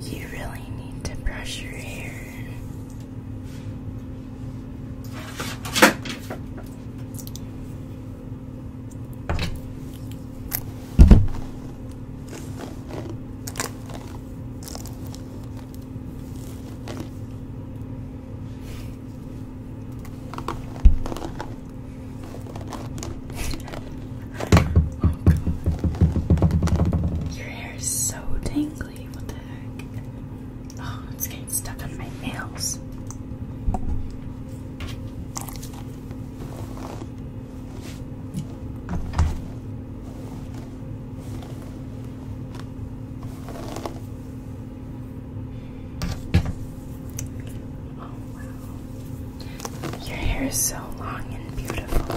You really need to brush your hair. Oh god. Your hair is so tingly, what the heck? Oh, it's getting stuck on my nails. Oh wow. Your hair is so long and beautiful though.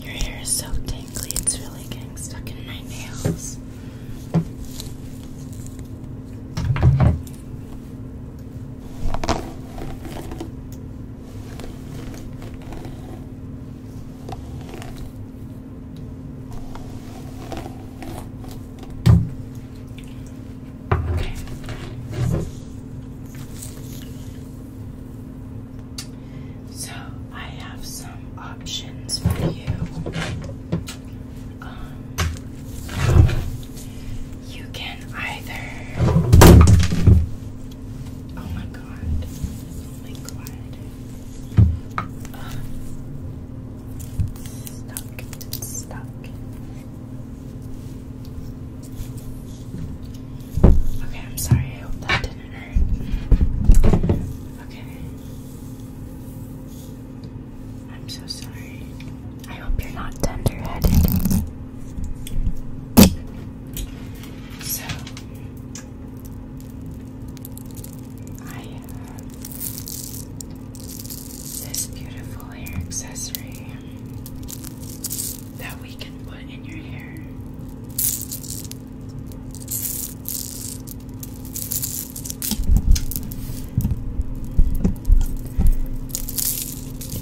Your hair is so tangly, it's really getting stuck in my nails. So I have some options for you. Um, you can either. Oh my god. Oh my god. Um, stuck. stuck. Okay, I'm sorry. I hope that didn't hurt. Okay. I'm so sorry. I hope you're not tender-headed. So, I this beautiful hair accessory that we can put in your hair.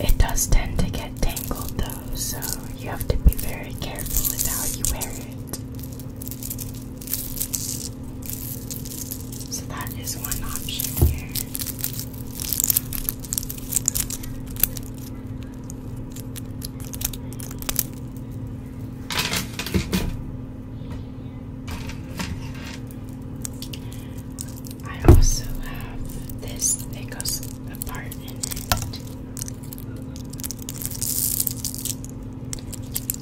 It does tend to get tangled though, so you have to be very careful with how you wear it. So that is one option here. I also have this, it goes apart in it.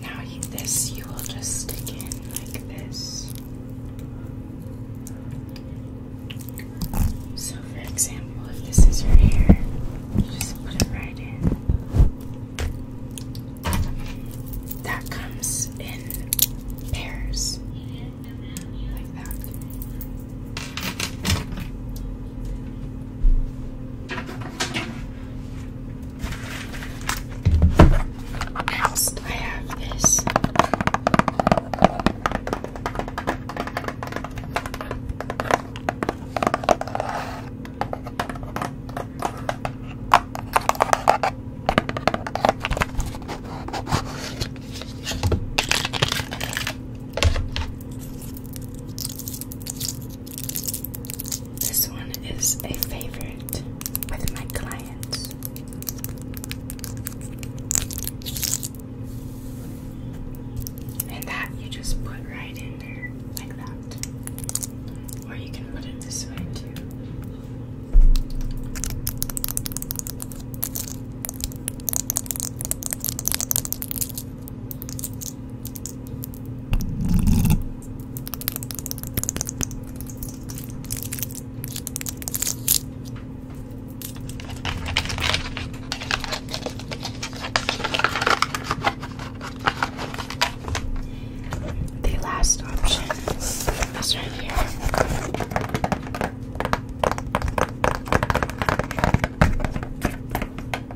Now, you, this you will just stick in like this. So, for example, if this is your hair, you just put it right in. That comes in pairs, like that. What else do I have? This. This one is a favorite with my clients. And that you just put right in there, like that. Or you can put it this way too. The last option is right here.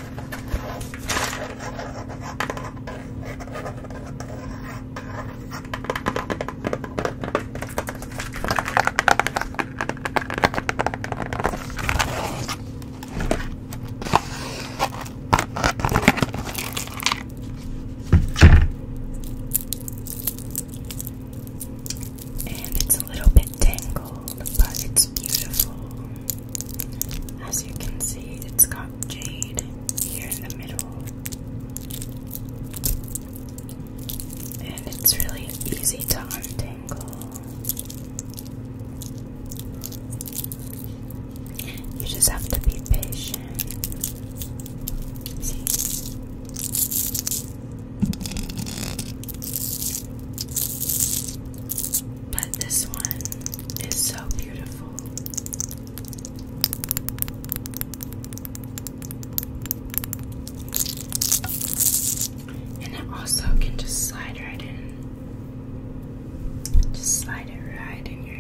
And it's a little bit tangled, but it's beautiful. As you can see, it's got jade here in the middle. And it's really easy to untangle. You just have to be patient. See? But this one is so beautiful. And it also can just slide right in. Just slide it right in your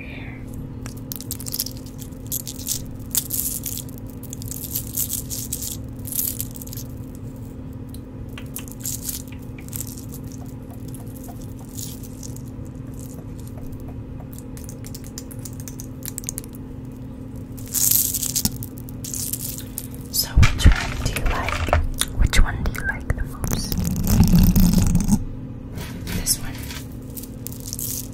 so which one do you like? Which one do you like the most? This one.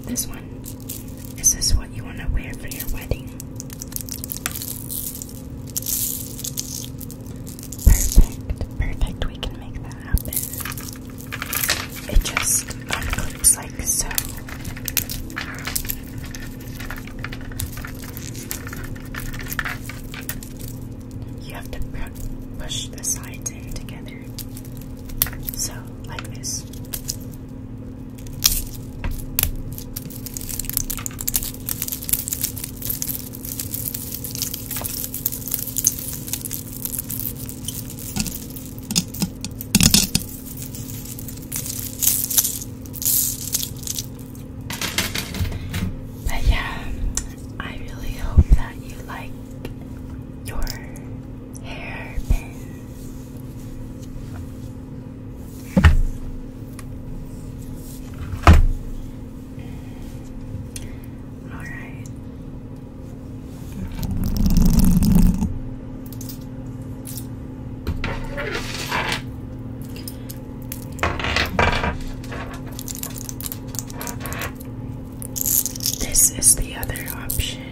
This one. Is this what you want to wear for your wedding? Perfect, perfect. We can make that happen. It just unclips like so. You have to push the sides in together. So, like this. But yeah, I really hope that you like your hairpin. All right. This is the other option.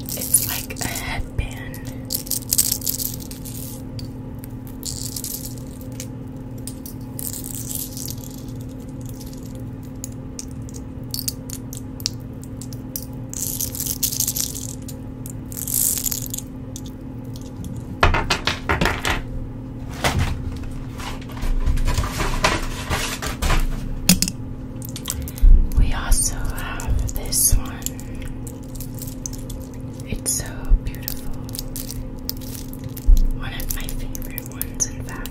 It's like a headband. We also have this one. It's so beautiful. One of my favorite ones, in fact.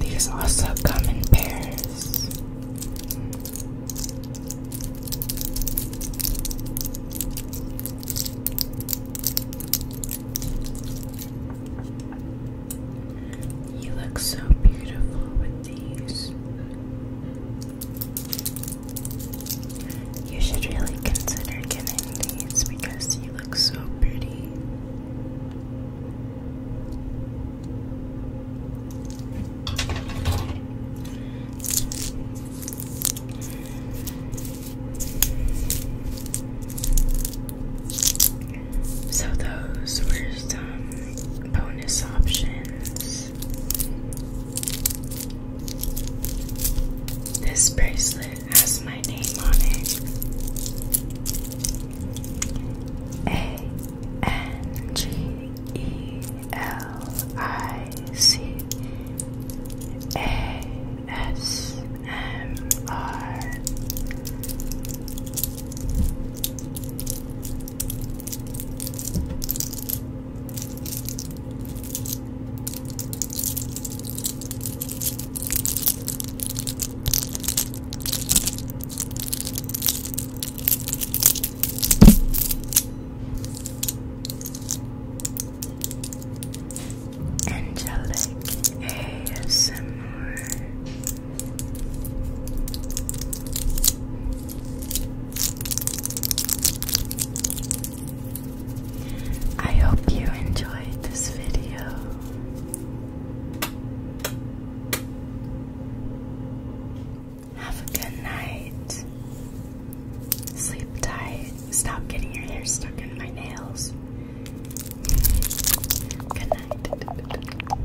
These also come in pairs. You look so beautiful with these. You should really consider getting these because you look so pretty. So, those were some bonus options this bracelet has my name on it. A N G E L I C A S M R. Angelic ASMR I hope you enjoyed this video. Have a good night. Sleep tight. Stop getting your hair stuck in my nails. Good night.